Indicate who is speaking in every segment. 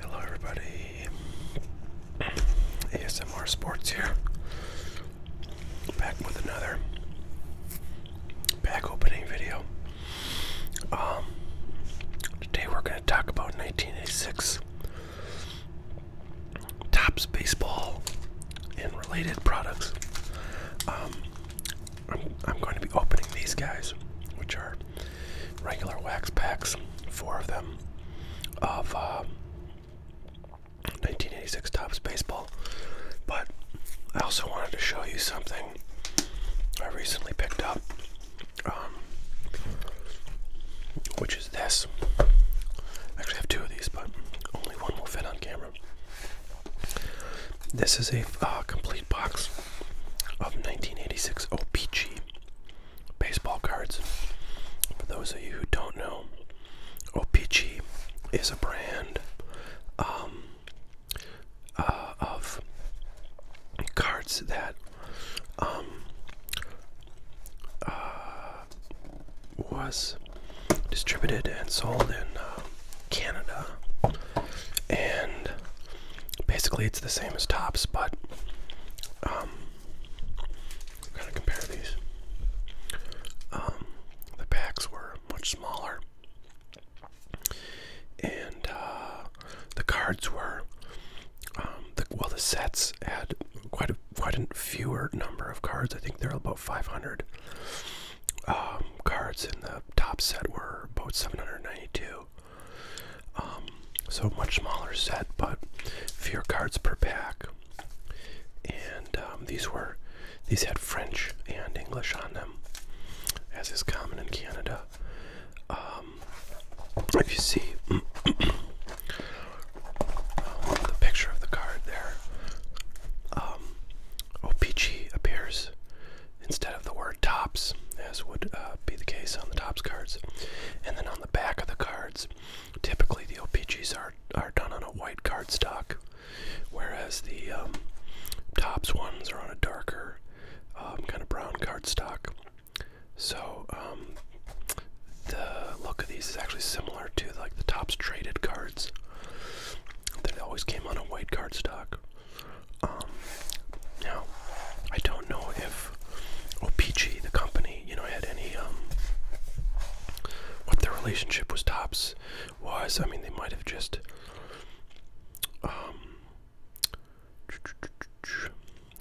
Speaker 1: Hello, everybody. ASMR Sports here. Back with another pack opening video. Um, today we're going to talk about 1986 tops baseball and related products. Um, I'm, going to be opening these guys, which are regular wax packs, four of them, of 1986 uh, Topps Baseball. But I also wanted to show you something I recently picked up, um, which is this. I actually have two of these, but only one will fit on camera. This is a uh, complete box of 1986 OPG baseball cards. For those of you who don't know, OPG is a brand um, uh, of cards that um, uh, was distributed and sold in um, Canada. And basically, it's the same as Tops, but um, i compare these. Um, the packs were much smaller, and uh, the cards were um, well. The sets had quite a quite a fewer number of cards. I think there were about 500 um, cards in the top set. Were about 792. Um, so much smaller set, but fewer cards per pack. And um, these were, these had French and English on them, as is common in Canada. Um, if you see uh, the picture of the card there, um, OPG appears instead of the word tops, as would uh, be the case on the tops cards. And then on the back of the cards, typically the OPGs are, are done on a white cardstock, whereas the um, tops ones are on a darker um, kind of brown cardstock. So um, the look of these is actually similar to like the tops traded cards that always came on a white cardstock. Um, now, I don't know if OPG, the company, you know, had any um, what their relationship with Tops was. I mean, they might have just um,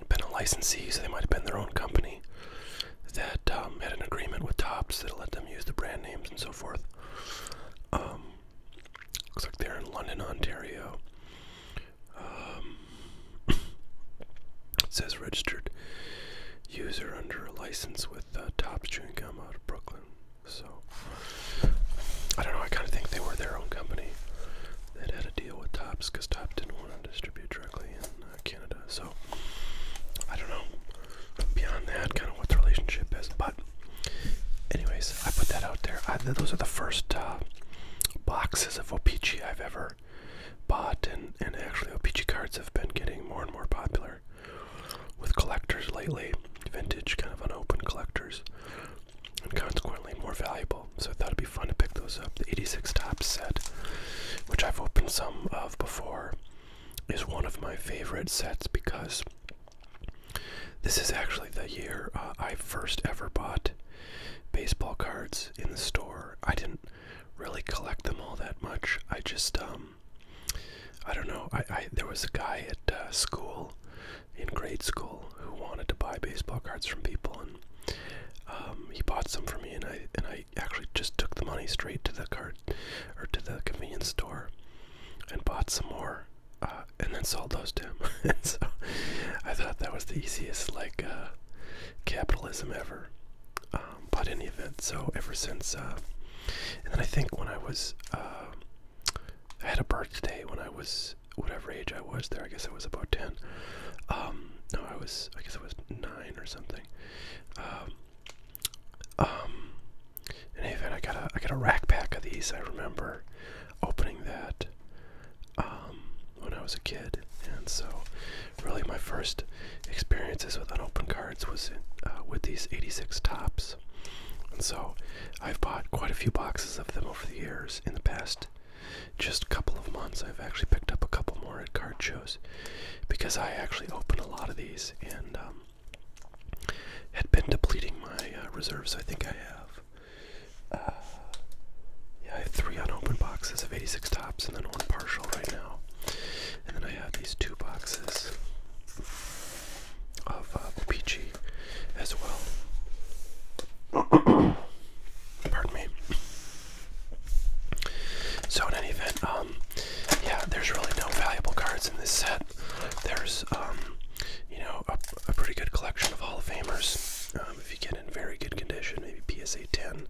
Speaker 1: been a licensee, so they might have been their own company that um, had an agreement with Tops that let them use the brand names and so forth. Um, Looks like they're in London, Ontario. Um, it says registered user under a license with Tops uh, Topps Chewing out of Brooklyn. So, I don't know, I kind of think they were their own company They had a deal with Tops because Tops didn't want to distribute directly in uh, Canada. So, I don't know beyond that kind of what the relationship is, but Anyways, I put that out there. those are the first uh, boxes of Opeachy I've ever bought, and, and actually, Opeachy cards have been getting more and more popular with collectors lately. Vintage, kind of unopened collectors, and consequently more valuable. So I thought it'd be fun to pick those up. The 86 Top set, which I've opened some of before, is one of my favorite sets because this is actually the year uh, I first ever bought baseball cards in the store. I didn't really collect them all that much. I just, um, I don't know. I, I there was a guy at uh, school, in grade school, who wanted to buy baseball cards from people, and um, he bought some for me, and I and I actually just took the money straight to the card or to the convenience store and bought some more. Uh, and then sold those to him. and so I thought that was the easiest like uh, capitalism ever. Um, but in the event, so ever since, uh, and then I think when I was, I had a birthday when I was whatever age I was there. I guess I was about ten. Um, no, I was I guess I was nine or something. Um, um, in any event, I got a I got a rack pack of these. I remember opening that um, when I was a kid, and so really my first experiences with unopened cards was uh, with these 86 tops. And so I've bought quite a few boxes of them over the years. In the past just couple of months, I've actually picked up a couple more at card shows because I actually opened a lot of these and um, had been depleting my uh, reserves. I think I have uh, yeah, I have three unopened boxes of 86 tops and then one partial right now. And then I have these two boxes of uh, as well. Pardon me. So in any event, um, yeah, there's really no valuable cards in this set. There's, um, you know, a, a pretty good collection of Hall of Famers. Um, if you get in very good condition, maybe PSA 10,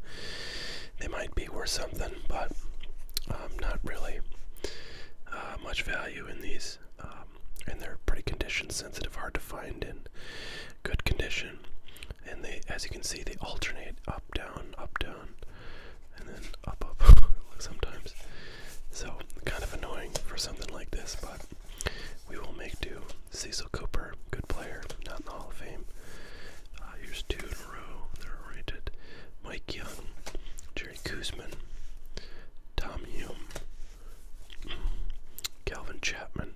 Speaker 1: they might be worth something, but um, not really uh, much value in these. Um, and they're pretty condition sensitive, hard to find in good condition. And they, as you can see, they alternate up, down, up, down, and then up, up sometimes. So, kind of annoying for something like this, but we will make do. Cecil Cooper, good player, not in the Hall of Fame. Uh, here's two in a row. They're rated. Mike Young, Jerry Kuzman, Tom Hume, Calvin Chapman.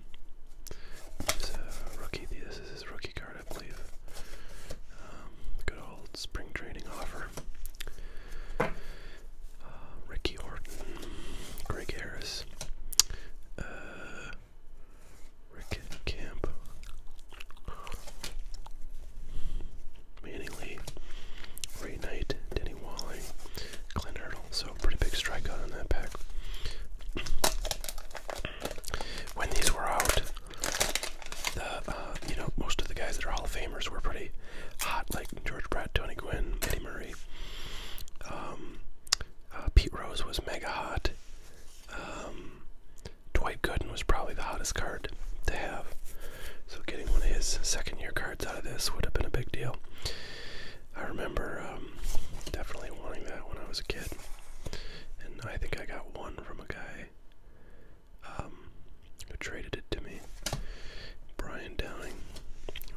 Speaker 1: He's a rookie. This is his rookie card, I believe. Um, good old spring training offer. Uh, Ricky Orton, Greg Harris, uh, Rick Camp, Manning Lee, Ray Knight, Denny Walling, Clint Hurdle. So pretty big strikeout on that pack. When these were out, uh, you know most of the guys that are Hall of Famers were pretty hot, like George Brett, Tony Gwynn, Eddie Murray. Um, uh, Pete Rose was mega hot. Um, Dwight Gooden was probably the hottest card to have. So getting one of his second year cards out of this would have been a big deal. I remember um, definitely wanting that when I was a kid. And I think I got one from a guy who traded it to me. Downing.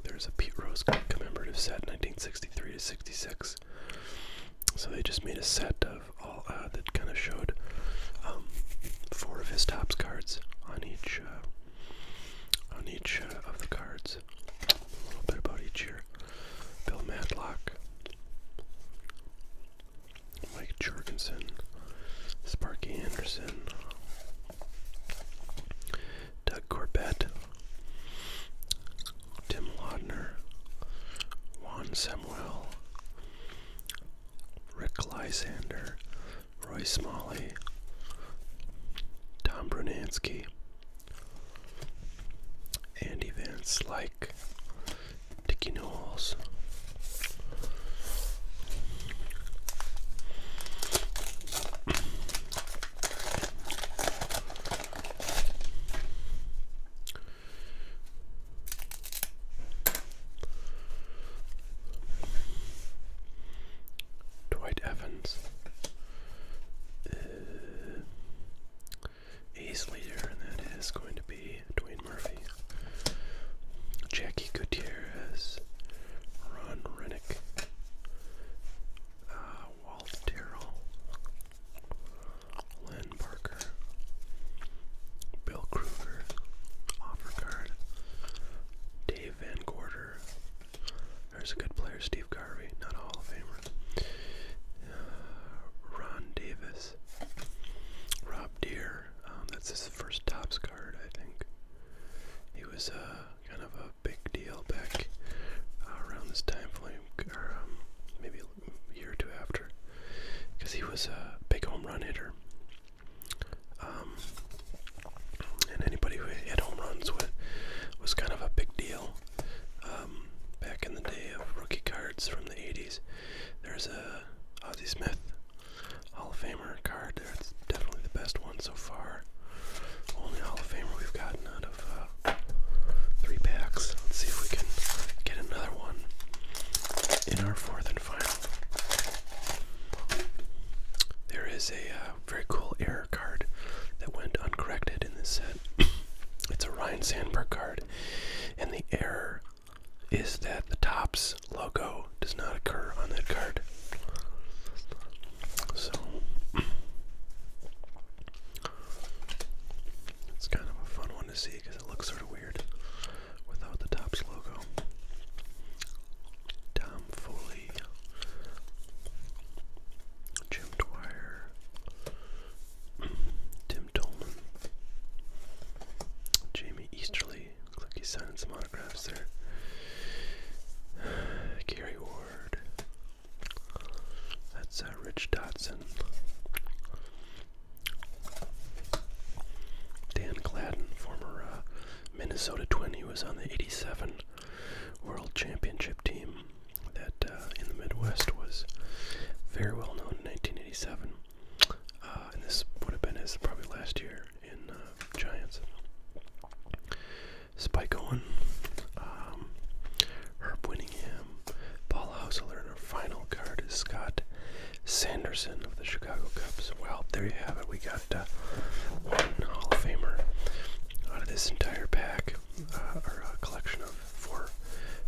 Speaker 1: There's a Pete Rose commemorative set, 1963 to 66. So they just made a set of all uh, that kind of showed um, four of his tops cards on each uh, on each uh, of the cards. A little bit about each year. Bill Matlock, Mike Jorgensen, Sparky Anderson. Doug Corbett, Tim Lodner, Juan Samuel, Rick Lysander, Roy Smalley, Tom Brunansky, Andy Van Slyke, Dickie Knowles. Dwight Evans. Ace uh, leader, and that is going to be Dwayne Murphy. Jackie Gutierrez, Ron Renick uh, Walt Terrell, Lynn Parker, Bill Kruger, offer card, Dave Van Gorder. There's a good player, Steve Garvey, not a Hall of Famer. Uh, Ron Davis, Rob Deere. Um, that's his first tops card, I think. He was uh, kind of a big deal back uh, around this time frame, or um, maybe a year or two after, because he was a big home run hitter. Um, and anybody who hit home runs was, was kind of a big deal. Um, back in the day of rookie cards from the 80s, there's a Ozzie Smith Hall of Famer card there definitely the best one so far. Only Hall of Famer we've gotten out of uh, three packs. Let's see if we can get another one in our fourth and final. There is a uh, very cool error card that went uncorrected in this set. it's a Ryan Sandberg card, and the error is that the Topps logo does not occur on that card. So it's kind of a fun one to see because it looks sort of weird without the Topps logo. Tom Foley, Jim Dwyer, Tim Tolman, Jamie Easterly. Looks like he's signing Gary Ward, that's uh, Rich Dotson. Dan Gladden, former uh, Minnesota Twin, was on the 87 World Championship team that uh, in the Midwest was very well known in 1987. and this would have been his probably last year in Giants. Spike Owen, um, Herb Winningham, Paul Hausler, and our final card is Scott Sanderson of the Chicago Cubs. Well, there you have it. We got uh, one Hall of Famer out of this entire pack, uh, or uh, collection of four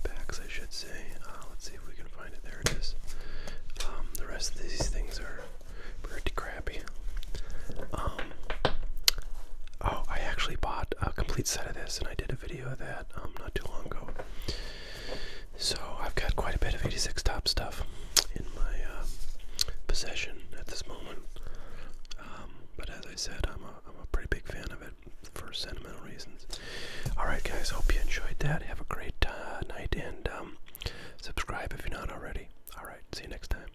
Speaker 1: packs, I should say. Uh, let's see if we can find it. There it is. Um, the rest of these things are pretty crappy. Um, oh, I actually bought a complete set of this, and I did a video of that um, not too long ago. So I've got quite a bit of 86 top stuff in my uh, possession at this moment. Um, but as I said, I'm a pretty big fan of it for sentimental reasons. Alright, guys, hope you enjoyed that. Have a great uh, night and subscribe if you're not already. Alright, see you next time.